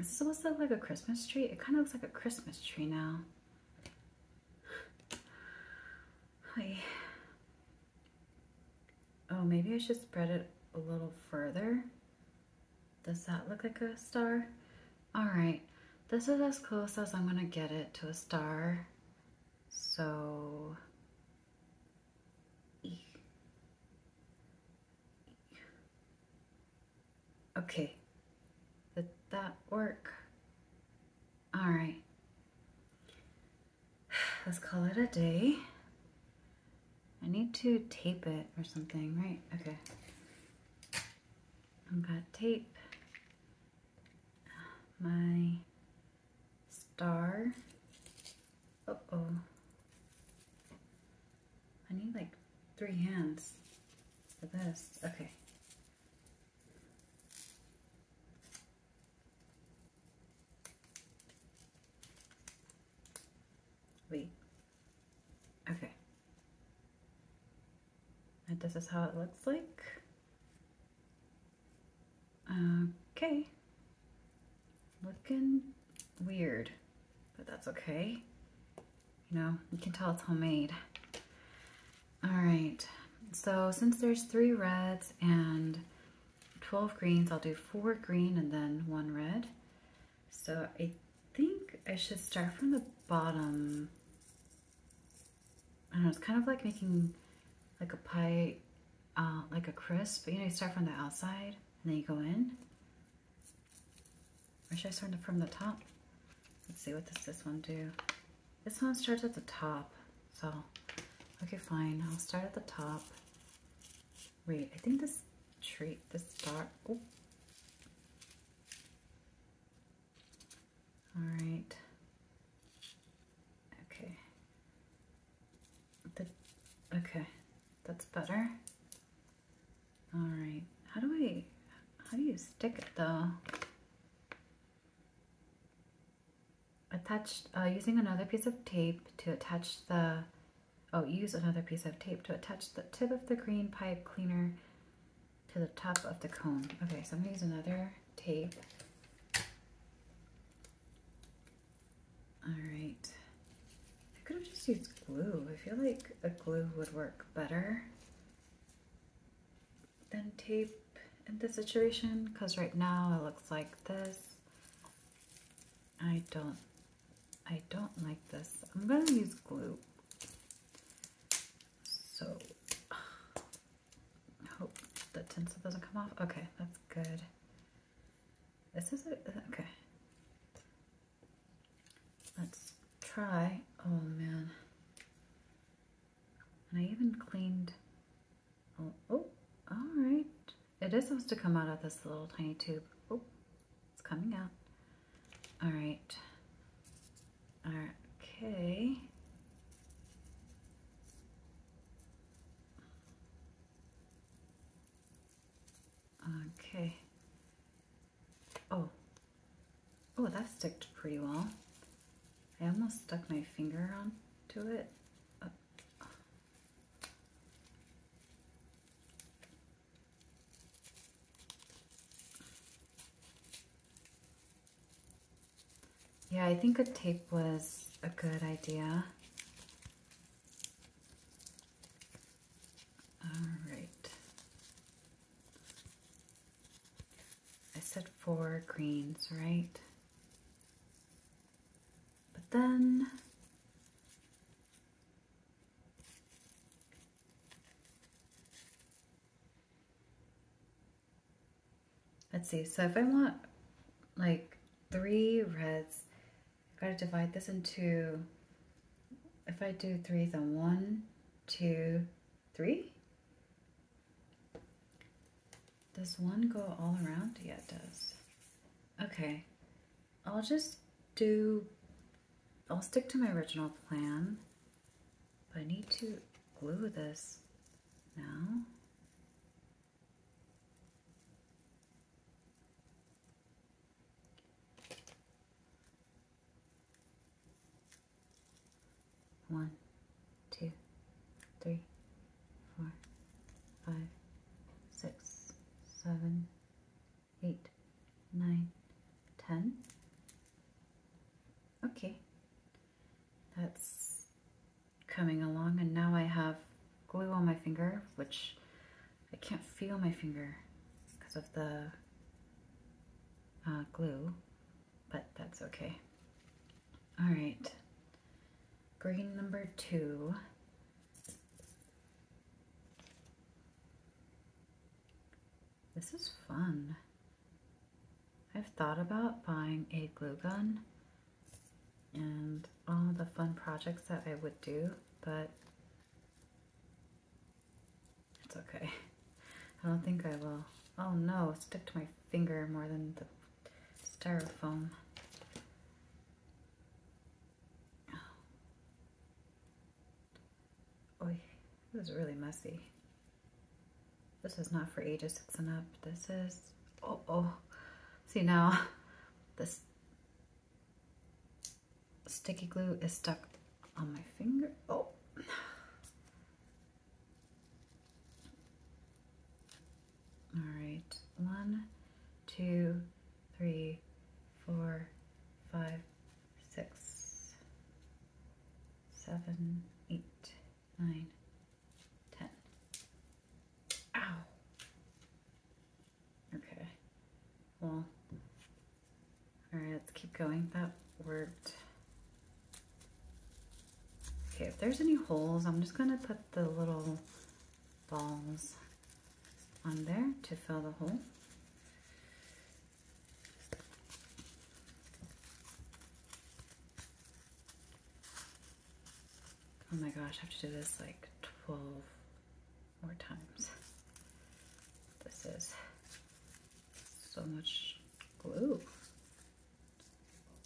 S1: is this supposed to look like a Christmas tree? It kind of looks like a Christmas tree now. Oh, maybe I should spread it a little further. Does that look like a star? All right, this is as close as I'm gonna get it to a star. So, okay, did that work? All right, let's call it a day. I need to tape it or something, right? Okay. I've got tape, my star. Oh oh I need like three hands for this. Okay. Wait, Okay. And this is how it looks like. Okay. Looking weird, but that's okay. You know, you can tell it's homemade. All right, so since there's three reds and 12 greens, I'll do four green and then one red. So I think I should start from the bottom. I don't know, it's kind of like making like a pie, uh, like a crisp, you know, you start from the outside and then you go in. Or should I start from the top? Let's see, what does this one do? This one starts at the top, so, okay, fine. I'll start at the top Wait, I think this treat, this dot, oh. All right. Okay. The, okay, that's better. All right, how do we? how do you stick it though? Attached, uh, using another piece of tape to attach the Oh, use another piece of tape to attach the tip of the green pipe cleaner to the top of the cone. Okay, so I'm gonna use another tape. All right. I could have just used glue. I feel like a glue would work better than tape in this situation because right now it looks like this. I don't I don't like this. I'm going to use glue. So, hope the tinsel doesn't come off. Okay, that's good. This is it. Okay. Let's try. Oh, man. And I even cleaned. Oh, oh, all right. It is supposed to come out of this little tiny tube. Oh, it's coming out. All right. All right. Okay. Okay. Oh. Oh, that stuck pretty well. I almost stuck my finger on to it. Uh, yeah, I think a tape was a good idea. All right. I said four greens, right? But then Let's see, so if I want like three reds, i got to divide this into, if I do three, then one, two, three? Does one go all around? Yeah, it does. Okay, I'll just do I'll stick to my original plan, but I need to glue this now. One, two, three, four, five, six, seven, eight, nine, ten. Okay, that's coming along and now I have glue on my finger, which I can't feel my finger because of the uh, glue, but that's okay. All right, green number two. This is fun. I've thought about buying a glue gun and all the fun projects that I would do, but it's okay. I don't think I will. Oh no, stick to my finger more than the styrofoam. Oy, it was really messy. This is not for ages six and up. This is, oh, oh. See now, this sticky glue is stuck on my finger. Oh. All right, one, two, three, four, five, six, seven, eight, nine, ten. Ow! Okay, well, all right, let's keep going. That worked. Okay, if there's any holes, I'm just gonna put the little balls on there to fill the hole. Oh my gosh, I have to do this like 12 more times. This is so much glue.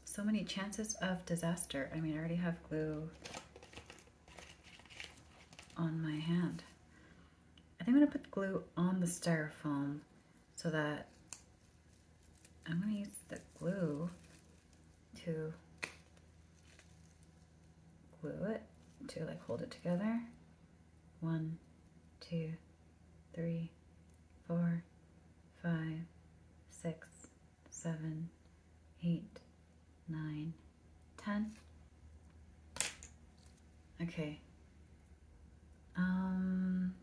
S1: So many chances of disaster. I mean, I already have glue on my hand. I think I'm gonna put glue on the styrofoam so that I'm gonna use the glue to glue it to like hold it together. One, two, three, four, five, six, seven, eight, nine, 10? Okay. Um,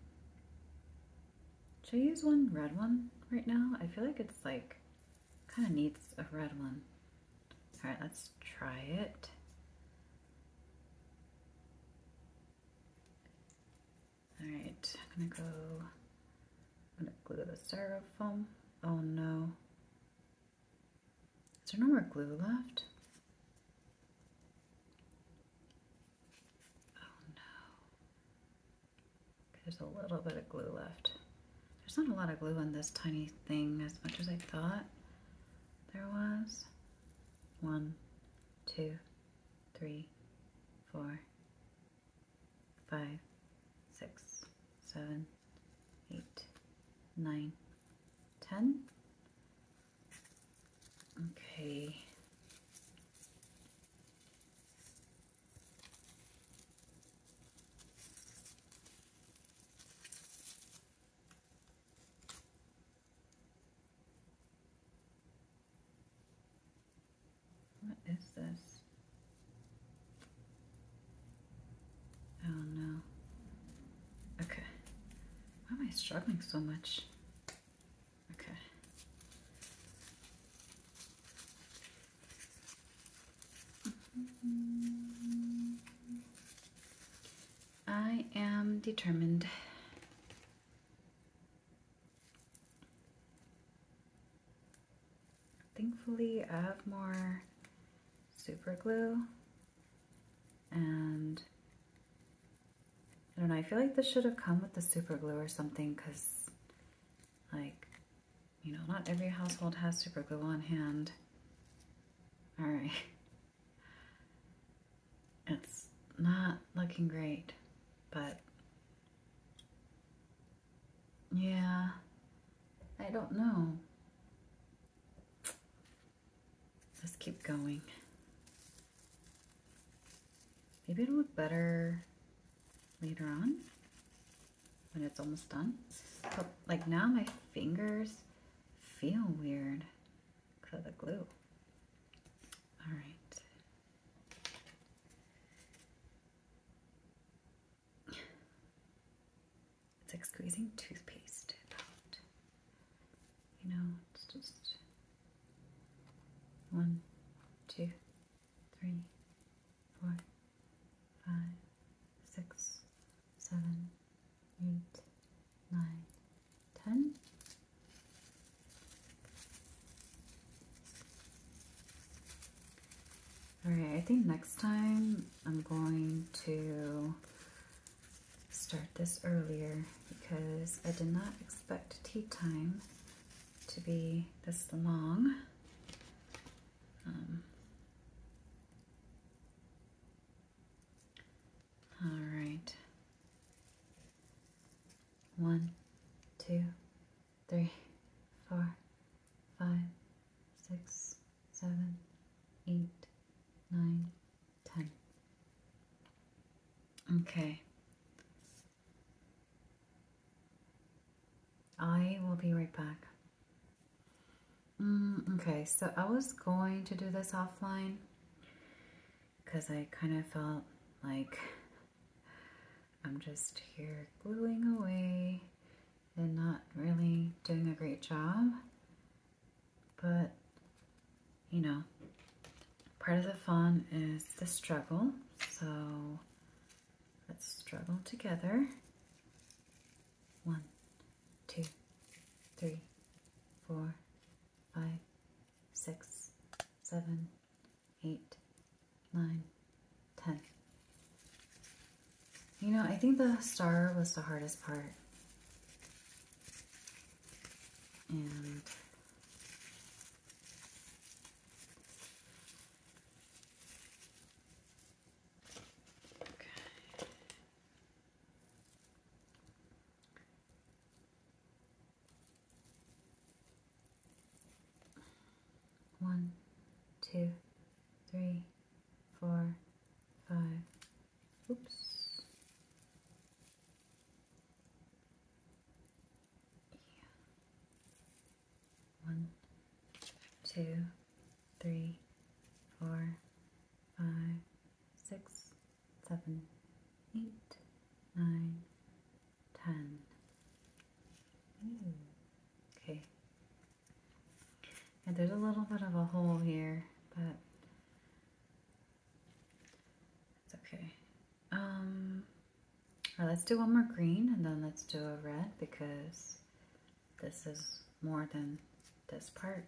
S1: should I use one red one right now? I feel like it's like, kind of needs a red one. All right, let's try it. All right, I'm gonna go, I'm gonna glue the styrofoam. Oh no. Is there no more glue left? Oh no. There's a little bit of glue left. There's not a lot of glue on this tiny thing as much as I thought there was. One, two, three, four, five, six, seven, eight, nine, ten. Okay. What is this? Oh no. Okay. Why am I struggling so much? Okay. I am determined. Thankfully, I have more super glue. And I don't know, I feel like this should have come with the super glue or something because like, you know, not every household has super glue on hand. All right. It's not looking great, but yeah, I don't know. Let's keep going. Maybe it'll look better later on when it's almost done. But like now my fingers feel weird because of the glue. All right. It's like squeezing toothpaste out. You know, it's just one, two, three, four, five, six, seven, eight, nine, ten. Alright, I think next time I'm going to start this earlier because I did not expect tea time to be this long. Um, all right. One, two, three, four, five, six, seven, eight, nine, 10. Okay. I will be right back. Mm, okay, so I was going to do this offline because I kind of felt like I'm just here gluing away and not really doing a great job. But, you know, part of the fun is the struggle. So let's struggle together. One, two, three, four, five, six, seven, eight, nine, ten. You know, I think the star was the hardest part and okay. One, two, three, four, five, oops one two three four five six seven eight nine ten okay yeah, there's a little bit of a hole here but it's okay. Um, right, let's do one more green and then let's do a red because this is more than this part.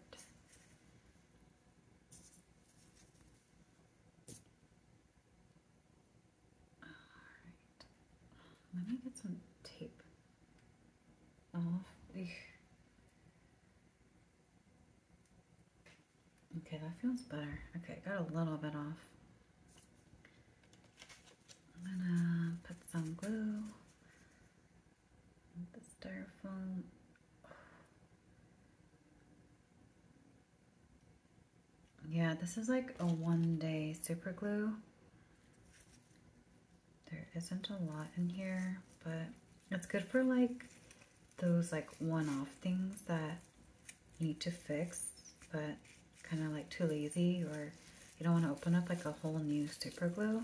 S1: Let me get some tape off. Okay, that feels better. Okay, got a little bit off. I'm gonna put some glue. The styrofoam. Yeah, this is like a one day super glue. There isn't a lot in here, but it's good for like those like one-off things that need to fix, but kind of like too lazy or you don't want to open up like a whole new super glue.